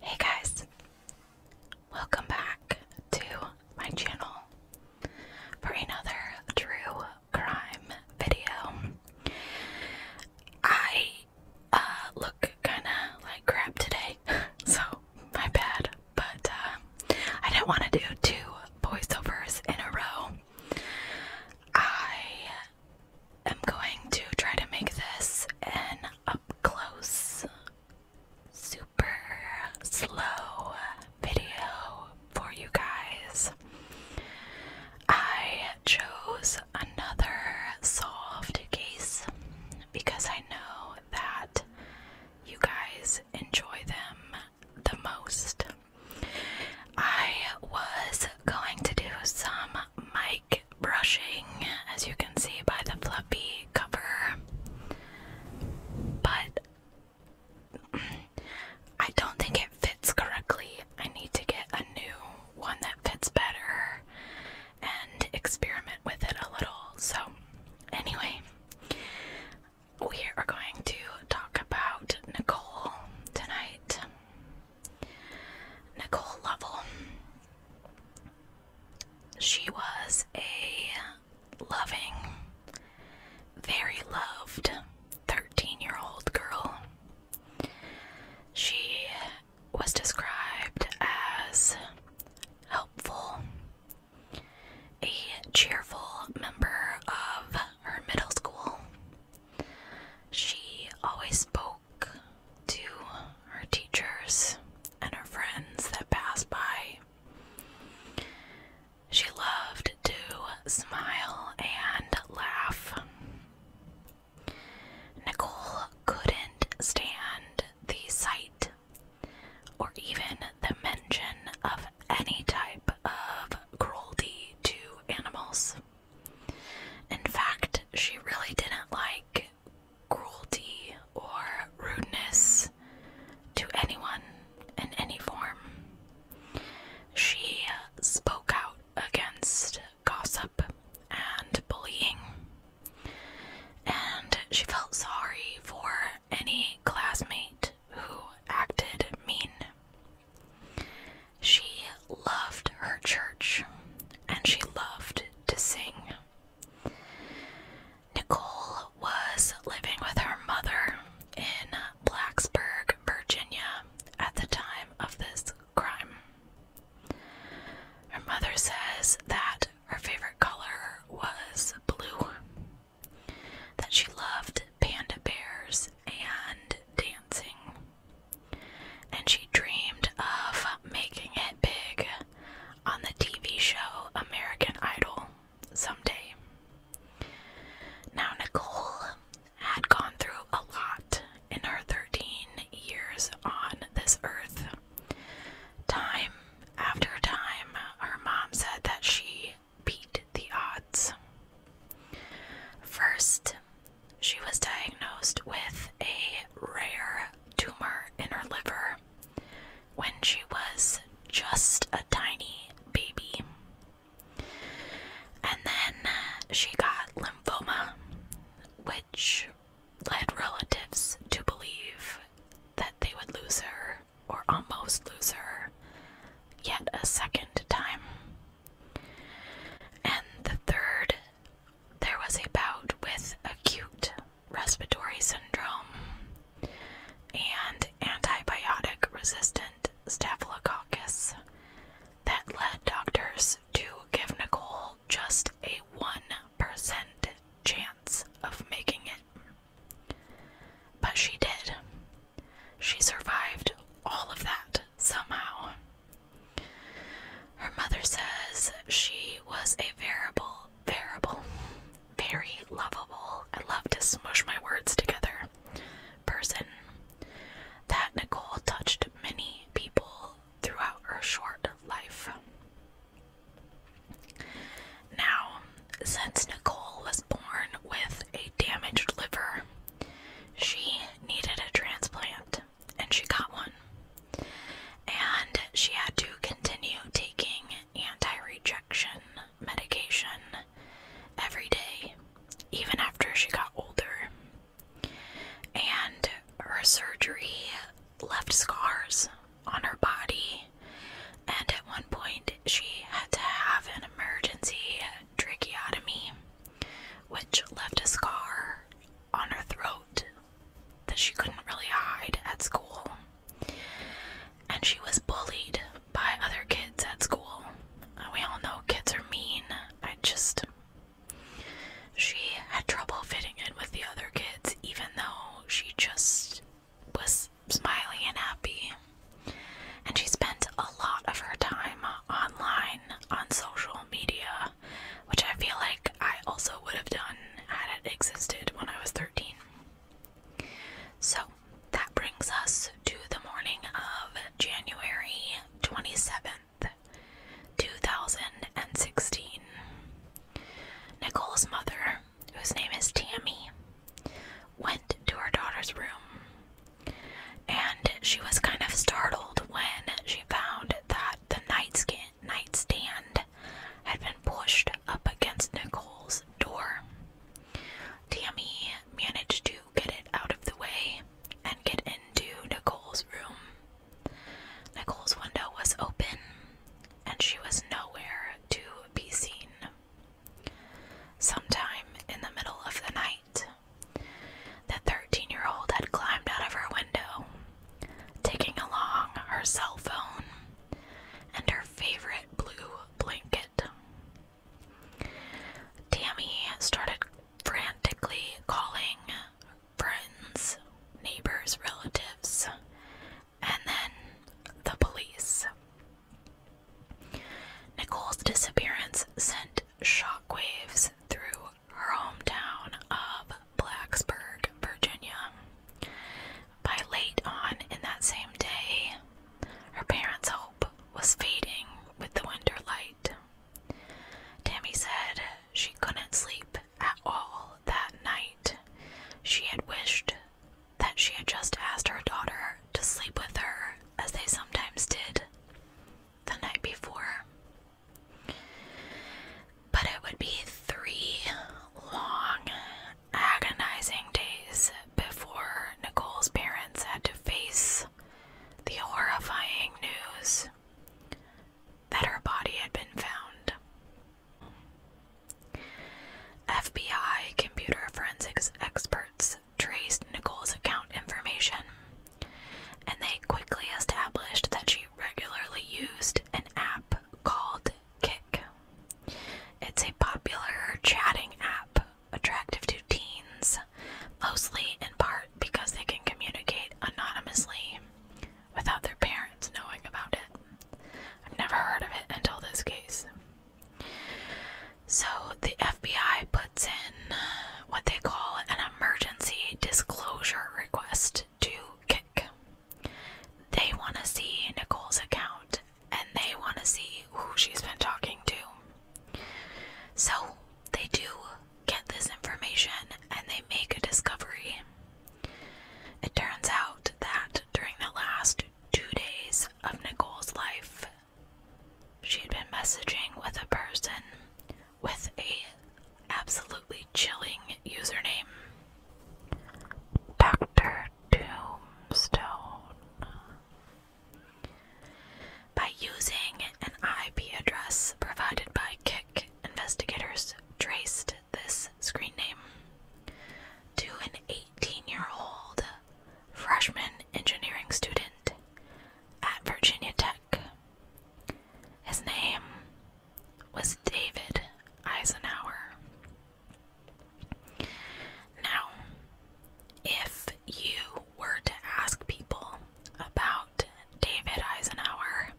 Hey guys, welcome back to my channel for another true crime video. I uh, look kind of like crap today, so my bad. But uh, I do not want to do two voiceovers in a row. I am going to try to make this an up close, super slow video for you guys. I chose another soft case because I know that you guys enjoy them the most. I was going to do some mic brushing, as you can see by the fluffy cover, but I don't think it fits correctly. I need to get a new one that fits better and experiment with it a little. So, anyway, we are going to talk about Nicole tonight. Nicole Lovell. She was a loving, very loved 13 year old girl. She was described as helpful, a cheerful member of her middle school. She always spoke to her teachers and her friends that passed by. She loved to smile and laugh. Nicole couldn't stand the sight or even the mention of any type of cruelty to animals. In fact, she really didn't like cruelty or rudeness to anyone in any form. She spoke out against gossip and bullying. And she felt sorry for any classmate who acted mean. She loved her church and she loved to sing. Nicole was living with her mother in Blacksburg, Virginia at the time of this crime. Her mother says that her favorite color was blue. That she loved panda bears and dancing. And she dreamed of making it big on the TV show American Idol someday. Now, Nicole had gone through a lot in her 13 years on this earth. Time after time, her mom said that she beat the odds. First, she was diagnosed with a rare tumor in her liver when she was just a tiny baby. And then she got lymphoma, which led relatives to believe that they would lose her, or almost lose her, yet a second time. And the third, there was a bout with acute respiratory syndrome and antibiotic resistant staphylococcus that led doctors to give Nicole just a one percent chance of making it. But she did. She survived all of that somehow. Her mother says she was a variable, variable, very lovable, I love to smush my words together, person that Nicole touched many people throughout her short life. Now, since Nicole was born with a damaged liver, she needed a transplant and she got one. And she had to continue taking anti rejection medication every day, even after she got older. And her surgery left scars on her body, and at one point she had to have an emergency tracheotomy, which left a scar on her throat that she couldn't really hide at school. And she was bullied by other kids at school. We all know kids are mean. I just she had trouble fitting in with the other kids, even though she just was smiling and happy. And she spent a lot of her time online on social media, which I feel like I also would have done had it existed when I was 13. So that brings us to the morning of January 27th, 2016. Nicole's mother, whose name is Tammy, went to her daughter's room and she was kind of startled when she found that the nightstand had been pushed up against Nicole's door. Tammy managed to get it out of the way and get into Nicole's room. Nicole's window was open, and she was nowhere to be seen. Sometime in the middle of the night, the 13 year old had climbed out of her window, taking along her cell phone and her favorite blue blanket. Tammy started frantically calling friends, neighbors, relatives, and then the police. Nicole's disappearance sent shockwaves through her hometown of Blacksburg, Virginia. By late on in that same day, her parents' hope was fading with the winter light. Tammy said she couldn't sleep at all that night. She had wished that she had just asked her daughter to sleep with her, as they sometimes did the night before. But it would be three long, agonizing days before Nicole's parents had to face the horrifying news that her body had been found. FBI computer forensics experts traced Nicole's account information, and they quickly established that she regularly used an app called Kick. It's a popular chatting app attractive to teens, mostly in part because they can communicate anonymously without their parents knowing about it. I've never heard of it until this case. So the FBI puts in what they call an emergency disclosure request to Kick. They want to see Nicole's account and they want to see who she's been talking to. So they do get this information and they make a discovery. It turns out that during the last two days of Nicole's life, she had been messaging with a person with a absolutely chilling username. Dr. Tombstone. By using an IP address provided by Kick investigators traced this screen name to an 18 year old freshman engineering student at Virginia Tech. His name was David Eisenhour. Now, if you were to ask people about David Eisenhour.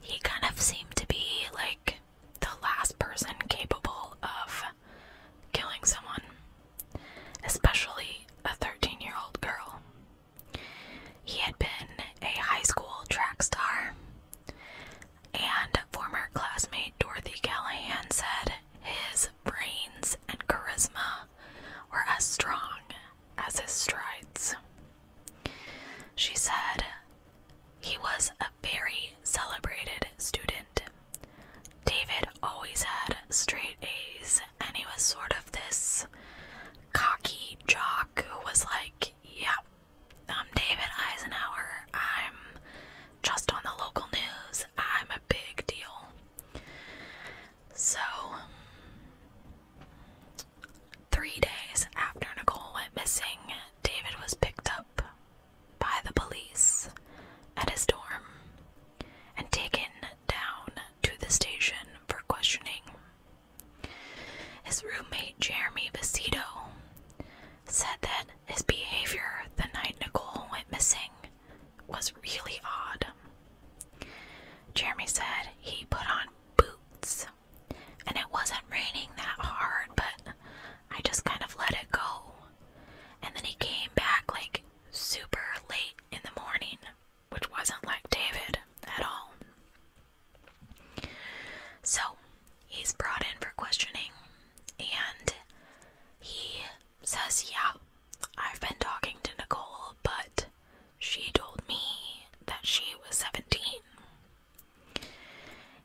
He kind of seemed to be like the last person capable of killing someone, especially a 13 year old girl. He had been a high school track star, and former classmate Dorothy Callahan said his brains and charisma were as strong as his strides. She said he was a very celebrated student. David always had straight A's, and he was sort of this cocky jock who was like, Yeah, I'm David Eisenhower. I'm just on the local news. I'm a big deal. So, three days after Nicole went missing, David was picked up by the police at his dorm and taken down to the station for questioning. His roommate Jeremy Bacito said that his behavior the night Nicole went missing was really odd. Jeremy said he put on boots. And it wasn't raining that hard, but I just kind of let it go. And then he came back like super late in the morning, which wasn't like David at all. So he's brought in for questioning, and he says, Yeah, I've been talking to Nicole, but she told me that she was 17.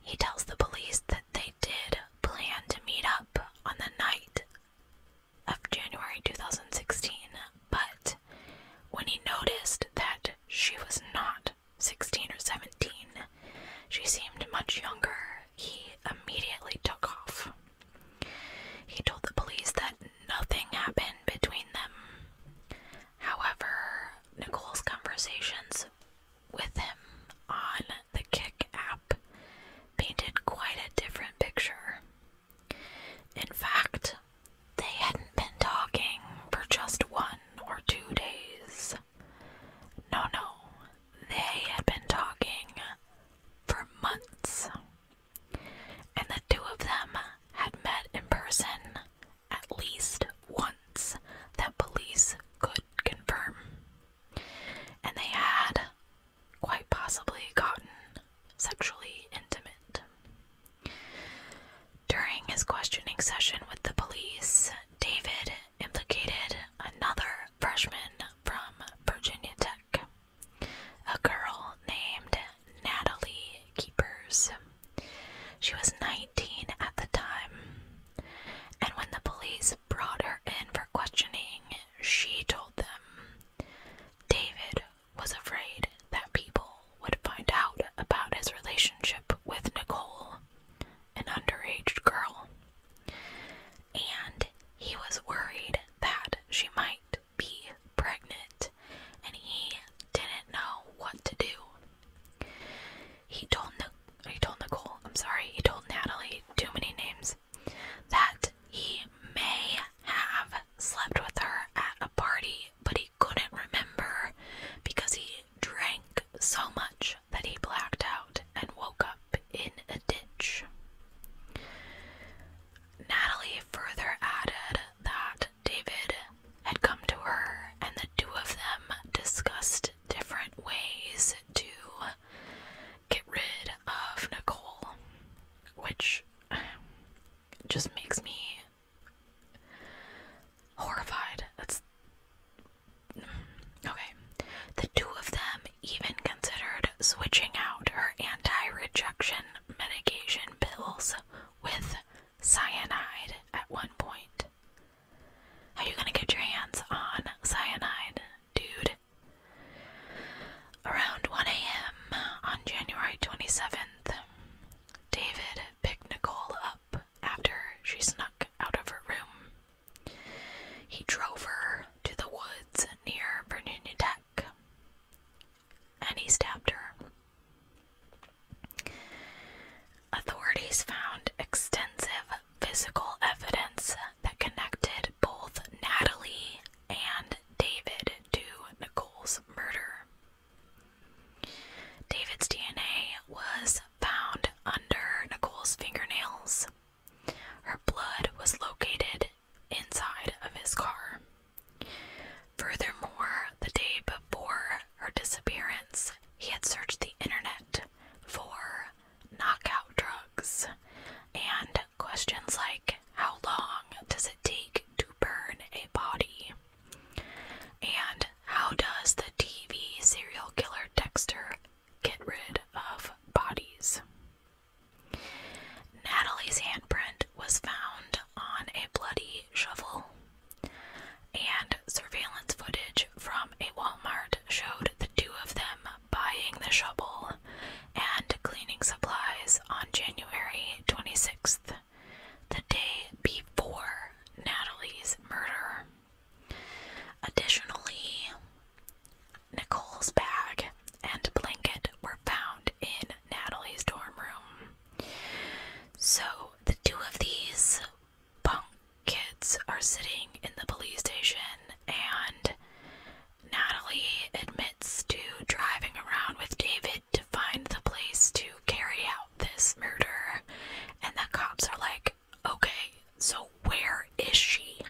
He tells the police that they did plan to meet up on the night of January 2016, but when he noticed that she was not 16 or 17, she seemed much younger, he immediately took off. He told the police that nothing happened between them. However, Nicole's conversations with him on the Kick app painted quite a different picture. In fact, they hadn't been talking for just one or two days. No, no, they had been talking for months and the two of them had met in person at least once that police could confirm. And they had quite possibly gotten sexually intimate. During his questioning session with the police, David implicated another freshman from Virginia Tech a girl named Natalie Keepers. She was 19 at the time, and when the police brought her in for questioning, she told them David was afraid that people would find out about his relationship with Nicole, an underage girl, and he was worried that she might be pregnant, and he didn't know what to do. He told Ni- he told Nicole, I'm sorry, he told Natalie, too many names, that he may have slept with her at a party, but he couldn't remember because he drank so much that he blacked out and woke up in a ditch. Natalie further added that David had come to her, and the two of them discussed different ways to get rid of Nicole, which just makes me horrified. That's okay. The two of them even considered switching out her anti rejection medication pills with cyanide at one point. Are you gonna get your hands on cyanide, dude? Around 1 a.m. on January 27th, David picked Nicole up after she snuck out of her room. He drove her to the woods near Virginia Tech and he stabbed her. Authorities found extensive physical evidence that connected both Natalie and David to Nicole's murder. David's DNA was found under Nicole's fingernails. Her blood was located inside of his car. Furthermore, the day before her disappearance, he had searched the internet for knockout drugs and questions like how long does it take to burn a body? And how does the TV serial killer Dexter get rid of bodies? Natalie's handprint was found on a bloody shovel, and surveillance footage from a Walmart showed the two of them buying the shovel and cleaning supplies on January 26th, the day before Natalie's murder. Additionally, Nicole's bag and blanket were found in Natalie's dorm room. So the two of these punk kids are sitting in the police station, and Natalie admits to driving around with David to find the place to carry out this murder. And the cops are like, okay, so where is she?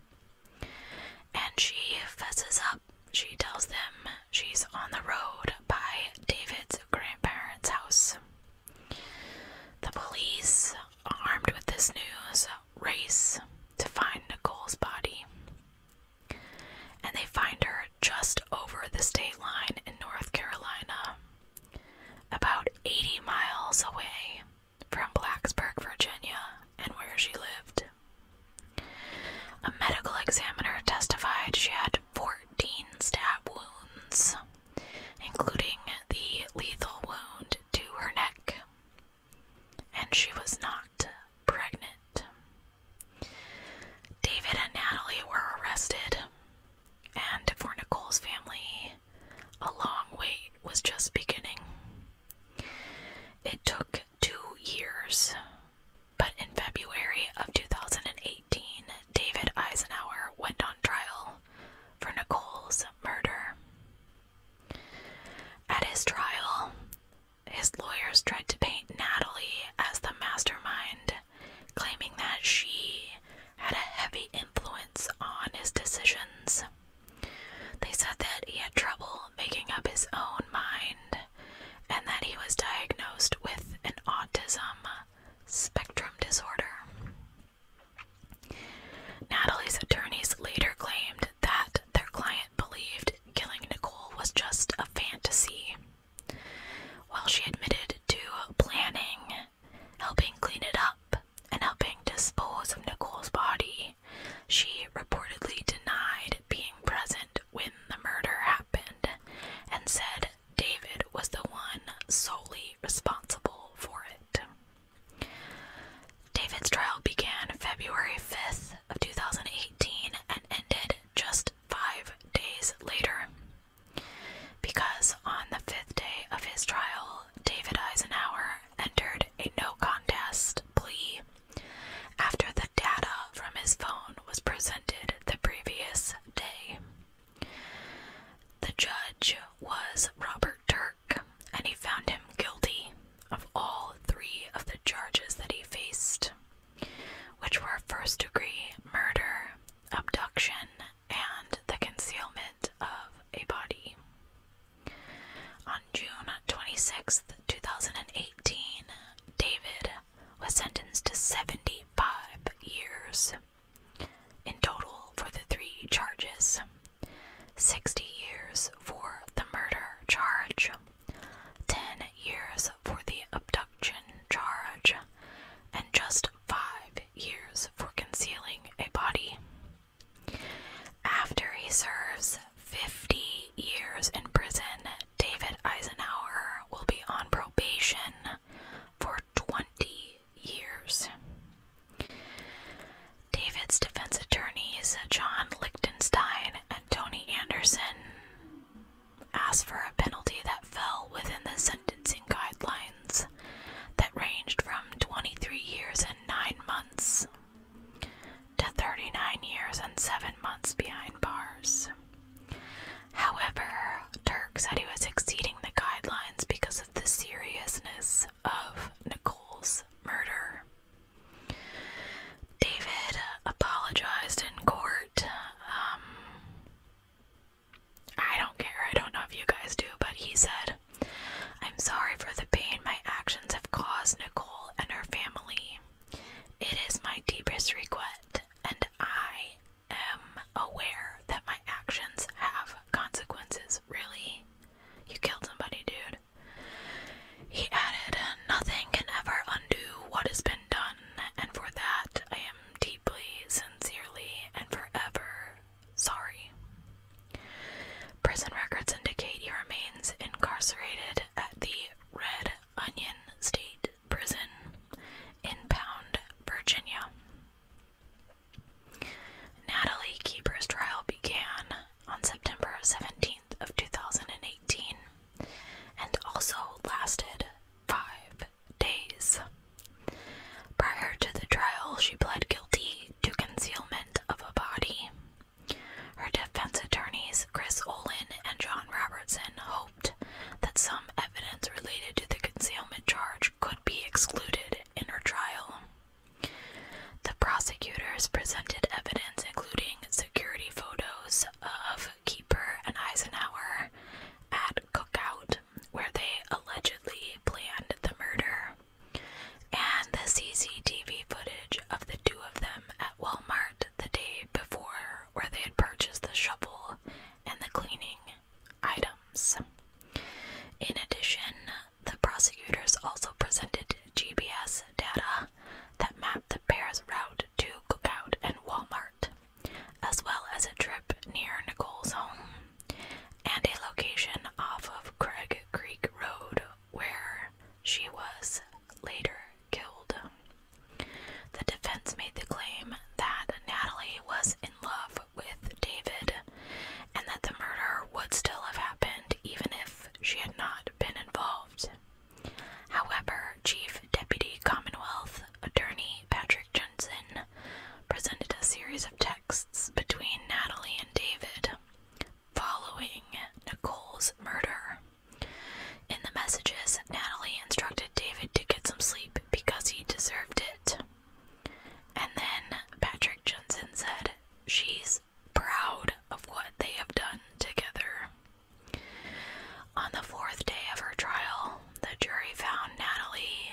And she fesses up. She tells them she's on the road by David's grandparents' house. The police, armed with this news, race to find Nicole's body. And they find her just over the state line in North Carolina, about 80 miles away from Blacksburg, Virginia, and where she lived. A medical examiner testified she had 14 stab wounds, including the lethal wound to her neck, and she was not pregnant. David and Natalie were arrested, and for Nicole's family, a long wait was just beginning. It took two years. But in February of 2018, David Eisenhower went on trial for Nicole's murder. At his trial, his lawyers tried to paint Natalie as the mastermind, claiming that she had a heavy influence on his decisions. They said that he had trouble making up his own mind and that he was diagnosed with an autism spectrum disorder. Natalie's attorneys later claimed that their client believed killing Nicole was just a fantasy, while she admitted to planning, helping clean it up, and helping dispose of Nicole's body. She reportedly denied being present when the murder happened and said David was the one solely responsible for it. David's trial began February 5th of 2018 and ended just 5 days later. Because on the 5th day of his trial, David Eisenhower entered a no contest plea after the data from his phone was presented the previous day. The judge was Robert Turk, and he found him guilty of all three of the charges that he faced, which were first degree murder, abduction, and the concealment of a body. On June 26, 2018, David was sentenced to 75 years in total for the three charges 60 years for the murder charge, 10 years for the abduction charge, and just 5 years for concealing a body. After he serves 50 years in prison, David Eisenhower will be on probation for 20 years. David's defense attorneys, John Lichtenstein and Tony Anderson, asked for a penalty that fell within the sentencing guidelines that ranged from 23 years and 9 months to 39 years and 7 months behind bars. However, Turk said he was exceeding the guidelines because of the seriousness of Nicole's murder. David apologized in court. Um, I don't care, I don't know if you guys do, but he said I'm sorry for the pain my actions have caused Nicole and her family. It is my deepest regret, and I am aware that my actions have consequences. Really? You killed somebody, dude. He added, Nothing can ever undo what has been done, and for that I am deeply, sincerely, and forever Sorry. Prison records indicate he remains incarcerated at the Red Onion State Prison in Pound, Virginia. Natalie Keeper's trial began on September 17th of 2018 and also lasted 5 days. Prior to the trial, she pled to concealment of a body. Her defense attorneys, Chris Olin and John Robertson, hoped that some evidence related to the concealment charge could be excluded in her trial. The prosecutors presented evidence including security photos of Keeper and Eisenhower at Cookout, where they allegedly planned the murder and the CCTV footage of the two of them at Walmart the day before, where they had purchased the shovel and the cleaning items. In addition, the prosecutors also presented GPS data that mapped the pair's route to Cookout and Walmart, as well as a trip near Nicole's home and a location off of Craig Creek Road where she was later killed. The defense made the claim that Natalie was in love with David and that the murder would still have happened even if she had not been involved. However, Chief Deputy Commonwealth Attorney Patrick Johnson presented a series of texts between Natalie and David following Nicole's murder. In the messages, Natalie instructed David to get some sleep because he deserved it. And then Patrick Jensen said, She's proud of what they have done together. On the fourth day of her trial, the jury found Natalie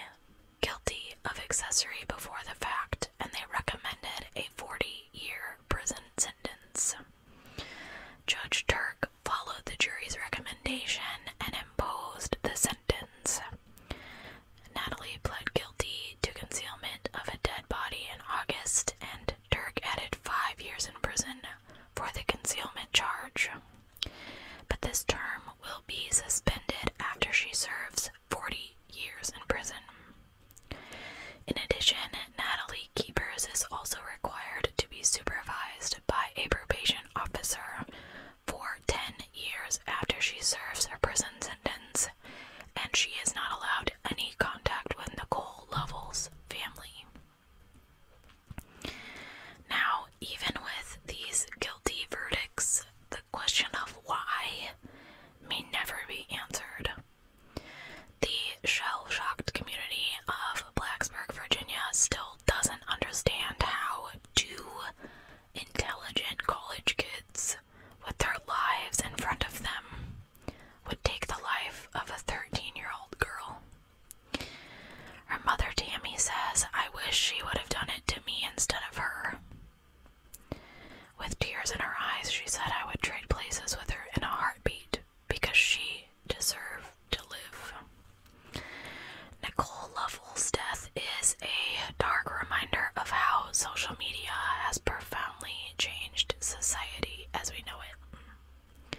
guilty of accessory before the fact and they recommended a 40 year prison sentence. Judge Turk followed the jury's recommendation and imposed the sentence. Natalie pled guilty to concealment of a dead body in August, and Turk added five years in prison for the concealment charge. But this term will be suspended after she serves 40 years in prison. In addition, Natalie Keepers is also required to be supervised by a probation officer for 10 years after she serves her prison sentence, and she is not allowed any contact with Nicole Lovell's family. Now, even with these guilty verdicts, question of why may never be answered. The shell shocked community of Blacksburg, Virginia still doesn't understand how two intelligent college kids with their lives in front of them would take the life of a 13 year old girl. Her mother Tammy says, I wish she would have done it to me instead of her. With tears in her eyes, she said I would trade places with her in a heartbeat because she deserved to live. Nicole Lovell's death is a dark reminder of how social media has profoundly changed society as we know it.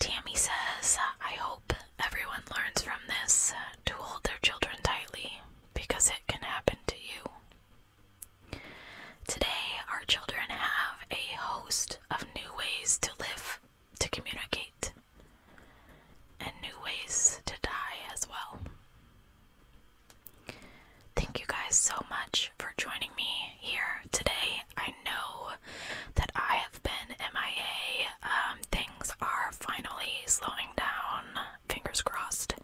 Tammy says, I hope everyone learns from this uh, to hold their children tightly because it can happen to you. Today, our children have a host of new ways to live, to communicate, and new ways to die as well. Thank you guys so much for joining me here today. I know that I have been MIA um, things are finally slowing down, fingers crossed.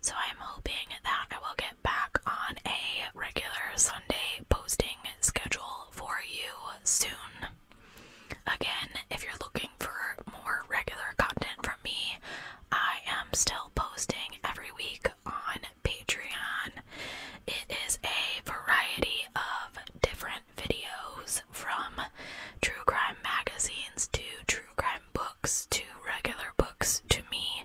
So I'm hoping that I will get back on a regular Sunday posting schedule for you soon. Again, if you're looking for more regular content from me, I am still posting every week on Patreon. It is a variety of different videos from true crime magazines to true crime books to regular books to me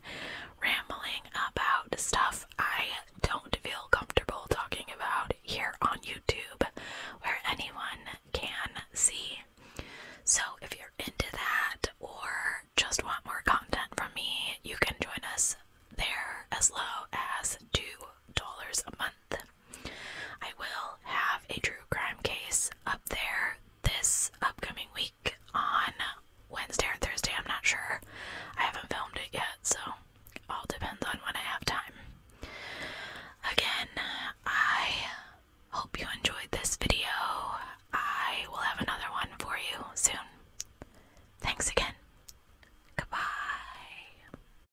rambling about stuff I don't feel comfortable talking about here on YouTube where anyone can see. So if you're into that or just want more content from me, you can join us there as low as $2 a month. I will have a true crime case up there this upcoming week on Wednesday or Thursday, I'm not sure. I haven't filmed it yet, so all depends on when I have time. Again, I hope you enjoyed this video. I will have another one for you soon. Thanks again. Goodbye.